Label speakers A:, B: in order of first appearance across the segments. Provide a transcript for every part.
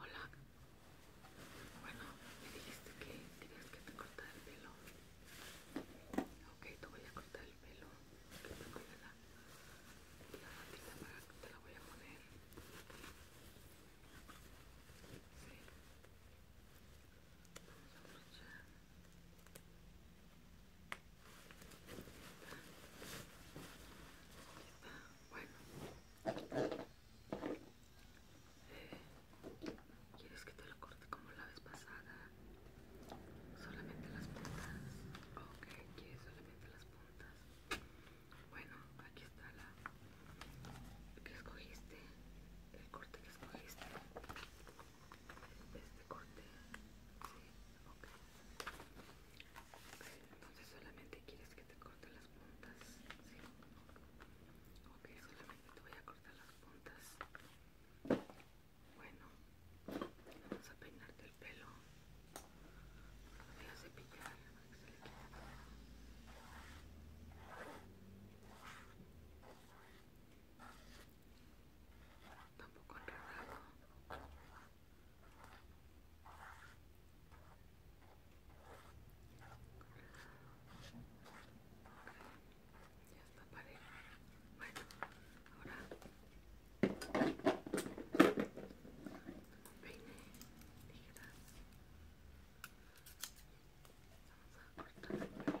A: Hola. Bueno, me dijiste que tienes que te cortar el pelo. Ok, te voy a cortar el pelo. Que la, para que te la voy a poner. Sí. Vamos a aprovechar. Bueno. ¿Quieres que te lo corte como la vez pasada? Solamente las puntas. Ok, ¿quieres solamente las puntas? Bueno, aquí está la que escogiste. El corte que escogiste. Este corte. Sí, ok. Entonces solamente quieres que te corte las puntas, ¿sí? Ok, solamente te voy a cortar las puntas. Bueno, vamos a peinarte el pelo. voy a cepillar ver que se le Tampoco enredado. Ya está parejo. Bueno, ahora peine, tijeras. Vamos a cortar el pelo.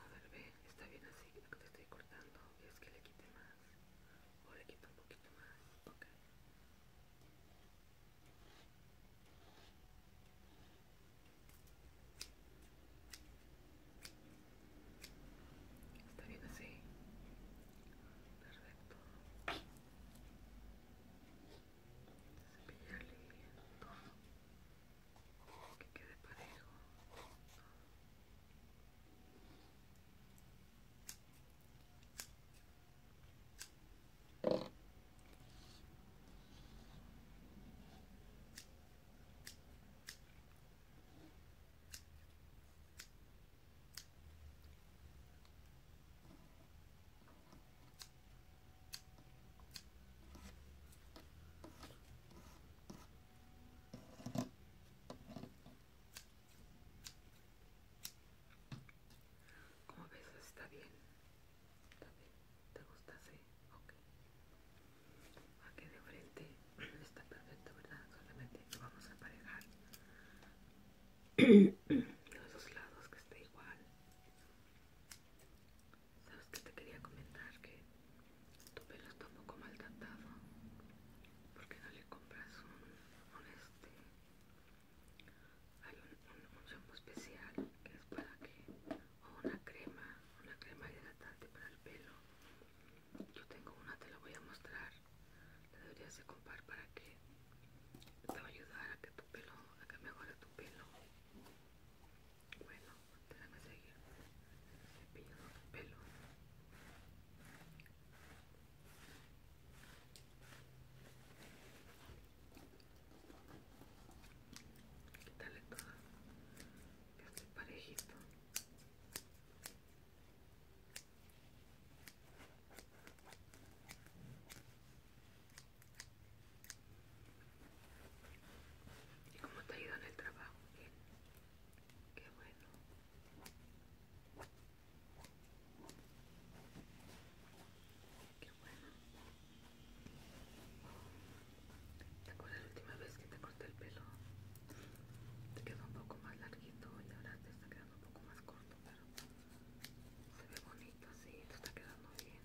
A: A ver, ve, está bien así, lo que te estoy cortando es que le quite más. O le quite un poquito más, ok. Está bien así. Perfecto. Cepillarle todo que quede parejo como ves, está bien. ¿Está bien? ¿Te gusta? Sí, ok. Aquí de frente está perfecto, ¿verdad? Solamente vamos a Y los dos lados que esté igual Sabes que te quería comentar que tu pelo está un poco maltratado. ¿Por qué no le compras un, un este? un, un, shampoo especial que es para que o una crema, una crema hidratante para el pelo. Yo tengo una, te la voy a mostrar. La deberías de comprar para que te va a ayudar a que tu pelo, a que mejore tu pelo. Bueno, déjame seguir. Cepillo de pelo. Quítale todo. Que esté parejito. ¿Y cómo te ha ido en el trabajo? Qué bueno. Qué bueno. ¿Te acuerdas la última vez que te corté el pelo? Te quedó un poco más larguito y ahora te está quedando un poco más corto, pero se ve bonito así, te está quedando bien.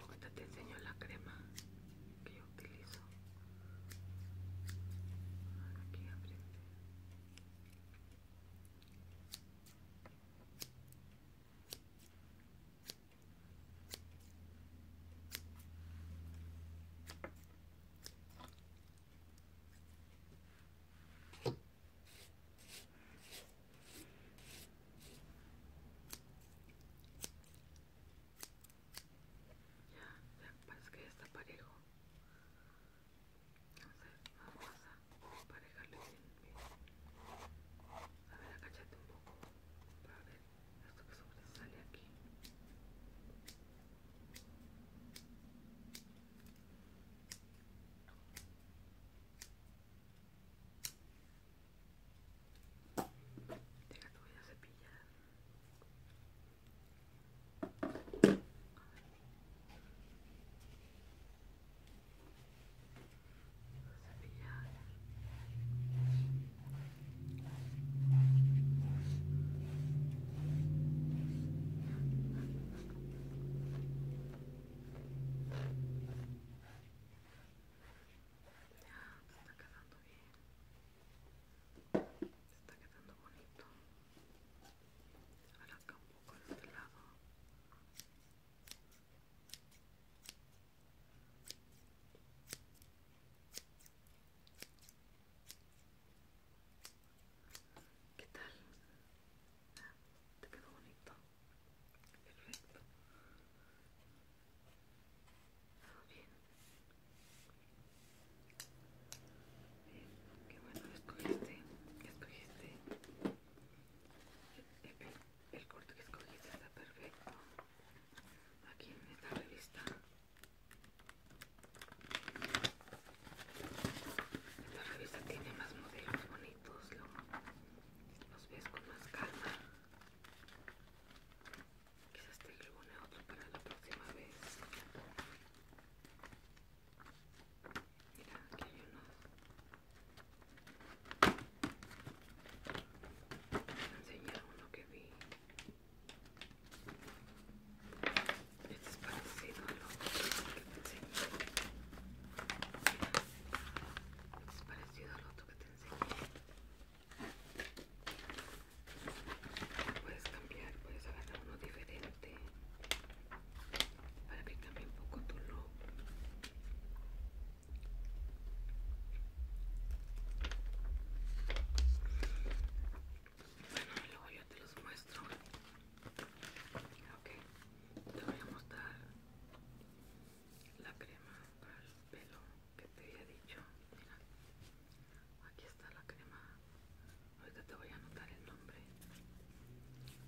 A: Ahorita te enseño la crema que yo utilizo. Aquí ya, parece que ya está parejo. vamos a parejarle bien, A ver, agachate un poco para ver esto que Sale aquí. Deja que voy a cepillar. A ver. Cepillar se está quedando bien está quedando bonito ahora acá un poco de este lado ¿Qué tal? ¿Te quedó bonito? Perfecto. Todo bien. Bien, qué bueno escogiste, escogiste. El, corte que escogiste está perfecto. Aquí en esta revista. La revista tiene más modelos bonitos, los ves con más calma. Quizás te a otro para la próxima vez. Mira, aquí hay unos. voy a enseñar uno que vi es parecido al otro que te enseñé. es parecido al otro que te enseñé. Puedes cambiar, puedes agarrar uno diferente para que cambie un poco tu look. Bueno, luego yo te los muestro ok te voy a mostrar la crema para el pelo que te había dicho mira aquí está la crema ahorita te voy a anotar el nombre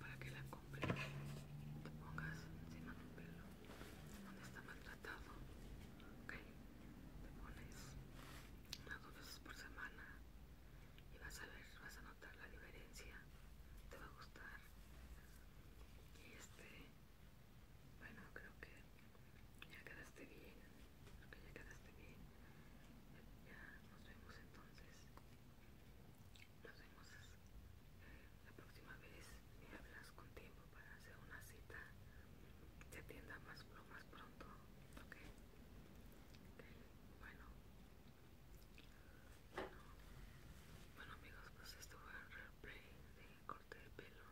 A: para que la compres te pongas encima un pelo donde está maltratado ok te pones unas dos veces por semana y vas a ver vas a la diferencia te va a gustar y este bueno creo que ya quedaste bien creo que ya quedaste bien ya, nos vemos entonces nos vemos eh, la próxima vez me hablas con tiempo para hacer una cita te atienda más pronto ok, okay bueno bueno amigos pues esto fue el replay de corte de pelo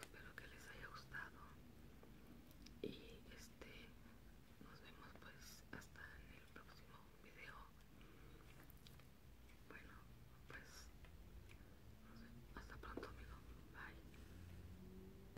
A: espero que les haya gustado y este nos vemos pues hasta en el próximo video bueno pues hasta pronto amigos. bye